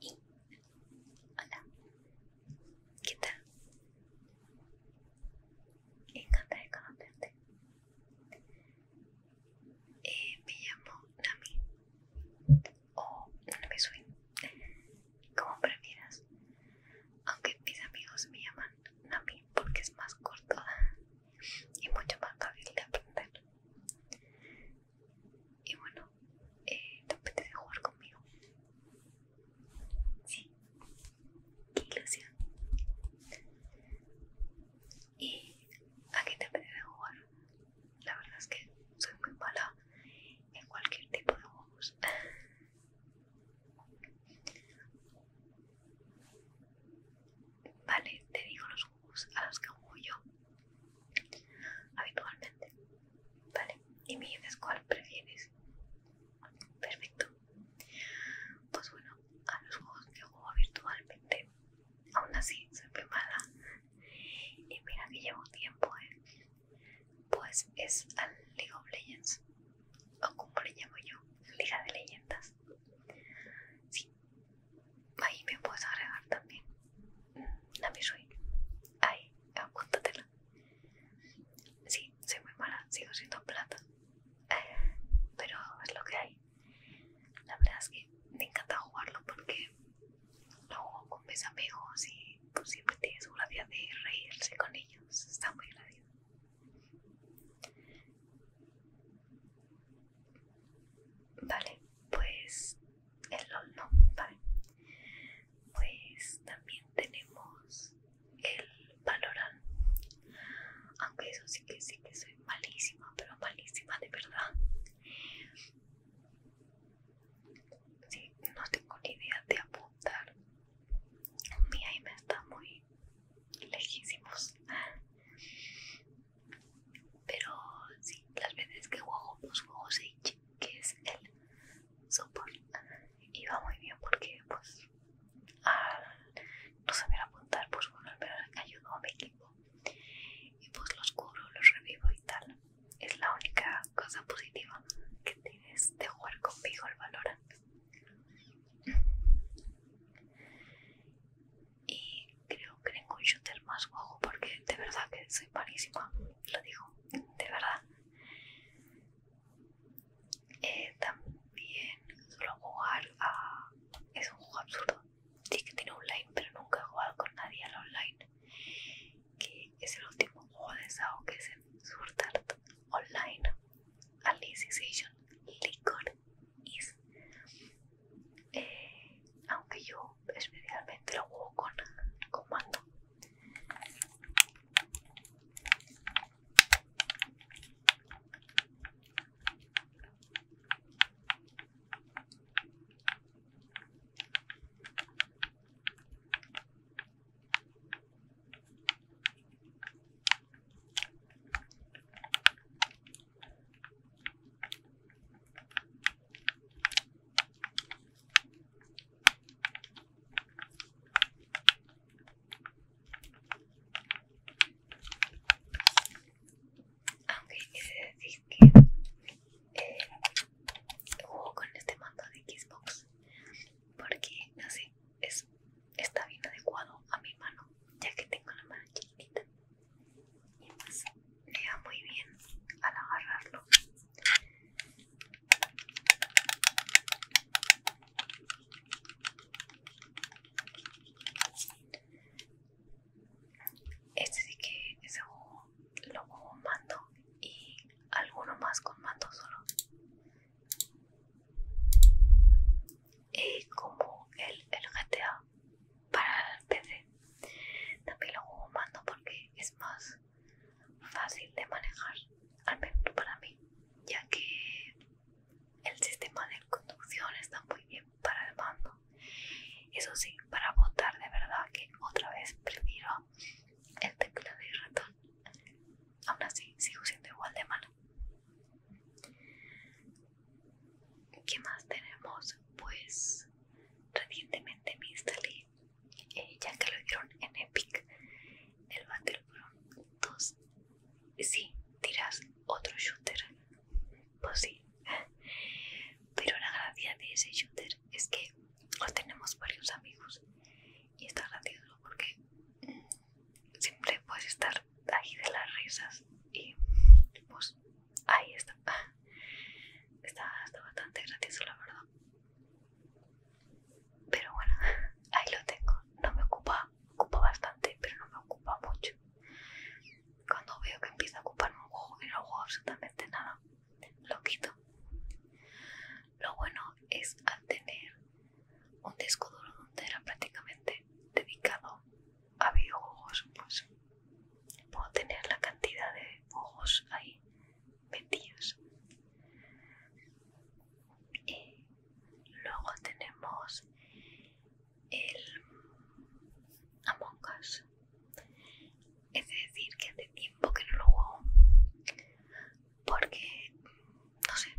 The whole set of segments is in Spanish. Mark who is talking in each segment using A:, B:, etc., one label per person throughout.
A: Y, hola, ¿qué tal? Encantada de eh, me llamo Nami, o Nami Swim. como prefieras. Aunque mis amigos me llaman Nami porque es más corto y mucho más fácil de aprender. Y bueno, eh, ¿te apetece jugar conmigo? Sí, qué ilusión. ¿Y a qué te apetece jugar? La verdad es que soy muy mala en cualquier tipo de juegos. Vale, te digo los a los que juego yo habitualmente. Vale, y me dices cuál prefieres. Perfecto. Pues bueno, a los juegos que juego virtualmente, aún así soy muy mala. Y mira que llevo tiempo, ¿eh? Pues es al League of Legends, o como le llamo yo, Liga de Leyendas. Sí, ahí me puedes agregar también a mi ahí apúntatela sí soy muy mala sigo siendo plata pero es lo que hay la verdad es que me encanta jugarlo porque lo juego con mis amigos y pues, siempre tienes una vida de reírse con ellos está muy gracioso Vale, pues el horno, Pues también tenemos el Valorant, aunque eso sí que sí que soy malísima, pero malísima de verdad. Sí, no tengo ni idea de apuntar. Mi aim está muy lejísimos. Pero sí, las veces que juego, pues juego Sage, que es el soporte Y va muy bien porque, pues, al no saber apuntar, pues bueno, al ayudó a mi equipo. Y pues los cubro, los revivo y tal. Es la única cosa positiva que tienes de jugar conmigo el Valorant y creo que tengo un shooter más juego porque de verdad que soy malísima, lo digo, de verdad. Eh, también suelo jugar a... es un juego absurdo, sí que tiene online pero nunca he jugado con nadie al online, que es el último juego de Sao que es el Surtart Online Alicization Liquor Is aunque yo especialmente lo juego con, con mando. Aunque quise decir que con este mando de Xbox porque no sé, es, está bien adecuado a mi mano ya que tengo la mano chiquitita y le da muy bien al agarrarlo este sí que ese lo jugo mando y alguno más con mando solo y como el GTA para el PC. También lo hago mando porque es más fácil de manejar, al menos para mí, ya que el sistema de conducción está muy bien para el mando. Eso sí, para votar de verdad que otra vez prefiero el teclado y ratón. Aún así, sigo siendo igual de malo. ¿Qué más tenemos? Pues recientemente me instalé, eh, ya que lo dieron en Epic, el Battleground 2. Sí, dirás otro shooter. Pues sí. Pero la gracia de ese shooter es que tenemos varios amigos y está gracioso porque mm, siempre puedes estar ahí de las risas y pues ahí está. Está, bastante gratis la verdad. Pero bueno, ahí lo tengo. No me ocupa, ocupa bastante, pero no me ocupa mucho. Cuando veo que empieza a ocuparme un juego y no juego absolutamente nada, lo quito. Lo bueno es al tener un disco donde era prácticamente dedicado había ojos, pues puedo tener la cantidad de ojos ahí metidos. Y luego tenemos el Among Us. Es decir, que hace tiempo que no lo juego porque, no sé,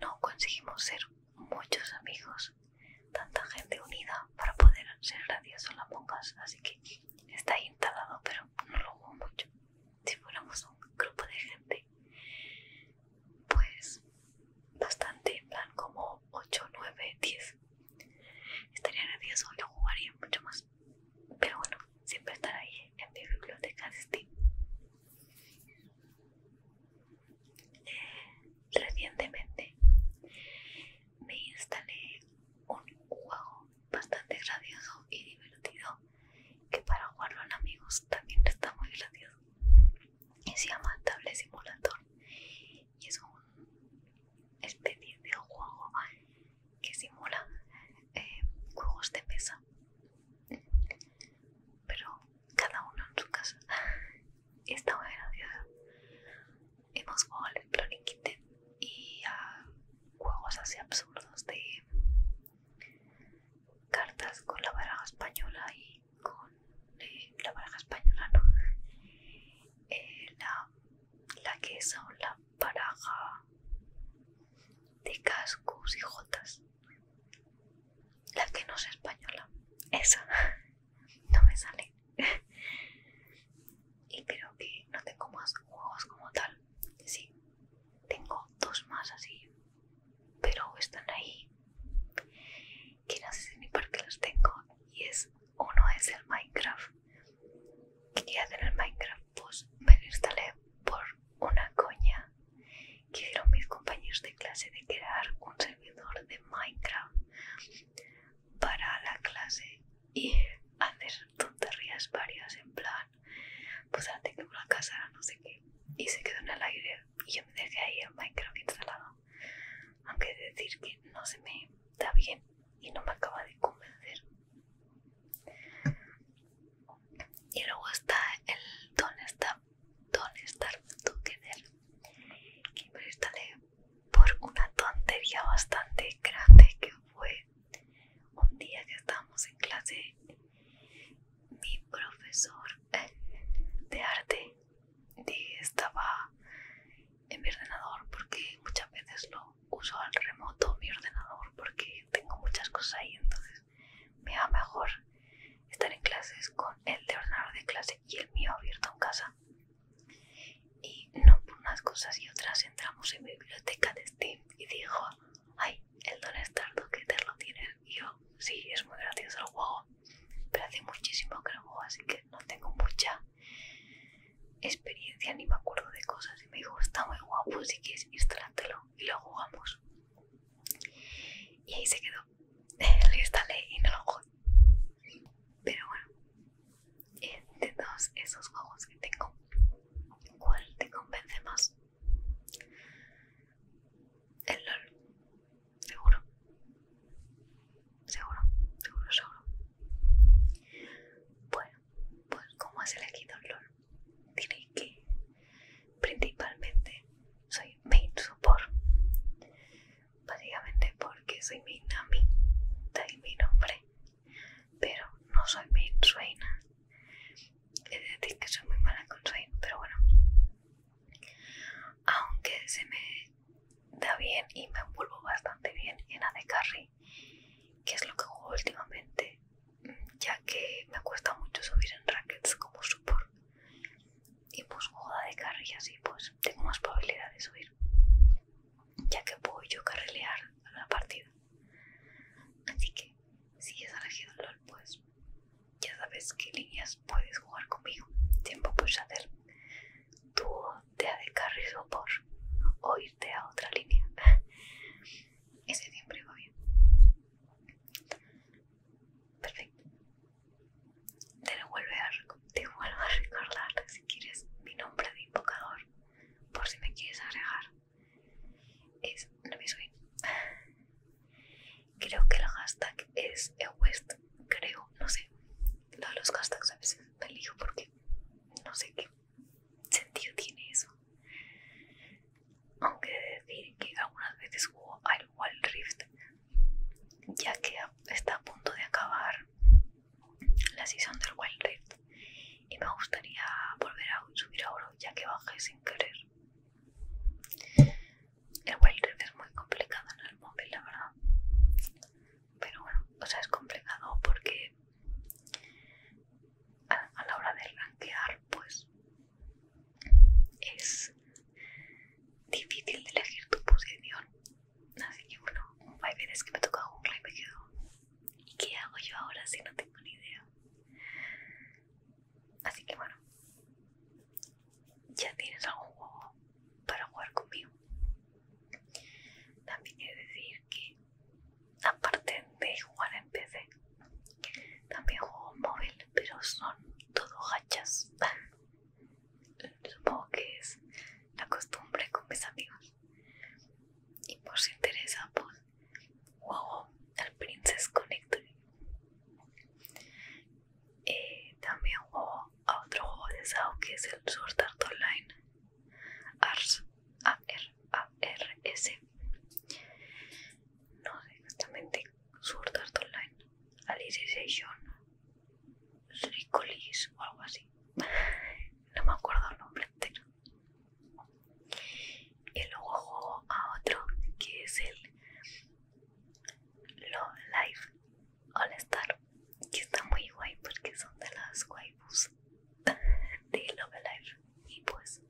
A: no conseguimos ser muchos amigos, tanta gente unida para poder ser en las monjas, así que está ahí instalado, pero no lo hubo mucho. Si fuéramos un grupo de gente, pues bastante, en plan como 8, 9, 10, estaría gracioso, lo jugaría mucho más, pero bueno, siempre estará ahí en mi biblioteca de Steam. Recientemente me instalé un juego bastante gracioso y divertido que para jugarlo en amigos también está muy gracioso y se llama Table Simulator y es un especie de juego que simula eh, juegos de mesa pero cada uno en su casa. Está muy graciosa Hemos jugado al y a ah, juegos así absurdos de cartas con la baraja española y con eh, la baraja española, ¿no? Eh, la, la que es la baraja de cascos y jotas. La que no es española. Esa. no me sale y creo que no tengo más juegos como tal sí tengo dos más así pero están ahí que no sé ni por qué los tengo y es uno es el minecraft quería el minecraft pues me instalé por una coña que hicieron mis compañeros de clase de crear un servidor de Minecraft para la clase y hacer tonterías varias en plan pues ahora tengo una casa no sé qué y se quedó en el aire y yo me dejé ahí el Minecraft instalado aunque decir que no se me da bien y no me acaba de convencer y luego está el don está ¿Dónde Together que me instalé por una tontería bastante grande que fue un día que estábamos en clase mi profesor de arte estaba en mi ordenador porque muchas veces lo uso al remoto mi ordenador porque tengo muchas cosas ahí entonces me va mejor estar en clases con el de ordenador de clase y el mío abierto en casa. Y no por unas cosas y otras entramos en mi biblioteca de Steam y dijo, ay, el Don Estardo, que te lo tienes? Y yo, sí, es muy gracioso el juego, pero hace muchísimo que lo juego, así que no tengo mucha experiencia ni me acuerdo de cosas. Y me dijo, está muy guapo, si que instálátelo y lo jugamos. Y ahí se quedó. lo instalé y no lo, pero bueno, de este, todos esos juegos que tengo, ¿cuál te convence más? El LOL, seguro. Seguro, seguro, seguro. Bueno, pues como has elegido el LOL, diré que principalmente soy main support básicamente porque soy mi de mi nombre, pero no soy main suena. Es decir, que soy muy mala con Swain, pero bueno, aunque se me da bien y me envuelvo bastante bien en AD Carry, que es lo que juego últimamente, ya que me cuesta mucho subir en rackets como support y pues joda de carry así pues tengo más probabilidad de subir ya que puedo yo carrilear la partida así que si es elegido LOL pues ya sabes qué líneas puedes jugar conmigo tiempo puedes hacer tu te de carry por o irte a otra línea ese siempre va bien perfecto te vuelve a, vuelvo a recordar si quieres mi nombre de invocador, por si me quieres agregar. Es no me suena. Creo que el hashtag es West, creo, no sé. Todos los hashtags a veces me elijo porque no sé qué sentido tiene eso. Aunque decir que algunas veces juego al Wild Rift ya que está a punto de acabar la sesión del Wild y me gustaría volver a subir a oro ya que bajé sin querer. El Wild es muy complicado en el móvil, la verdad. Pero bueno, o sea, es complicado porque a, a la hora de rankear, pues es difícil de elegir tu posición. Así que bueno, hay veces que me toca un y me ¿Y qué hago yo ahora si no tengo ni idea? Así que bueno, ya tienes algún juego para jugar conmigo. También he de decir que, aparte de jugar en PC, también juego móvil, pero son todo hachas. Supongo que es la costumbre con mis amigos. Y por si interesa, pues, juego al Princess Connect eh, también juego a otro juego de Sao que es el Sword Art Online ARS No sé exactamente Sword Art Online Alicization Ricolis o algo así. no me acuerdo el nombre entero. Y luego juego a otro que es el Love Life All Star, que está muy guay porque son de las guaybus de Love Life. Y pues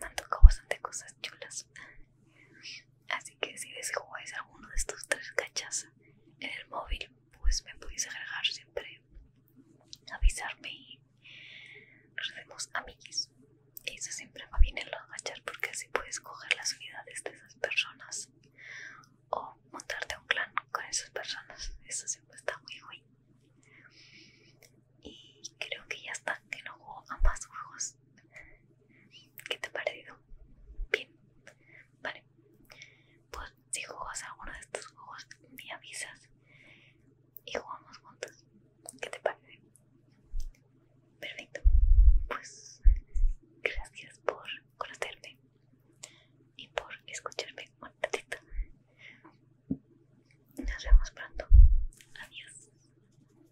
A: me han tocado bastante cosas chulas. Así que si jugáis alguno de estos tres cachas en el móvil, pues me podéis agregar siempre, avisarme y nos Y eso siempre va bien en los porque así puedes coger las unidades de esas personas o montarte un clan con esas personas. Eso siempre está muy guay. Y creo que ya está, que no juego a más juegos. ¿Qué te ha parecido? Bien, vale. Pues si juegas alguno de estos juegos, me avisas y jugamos juntos. ¿Qué te parece? Perfecto. Pues gracias por conocerme y por escucharme un ratito. Nos vemos pronto. Adiós.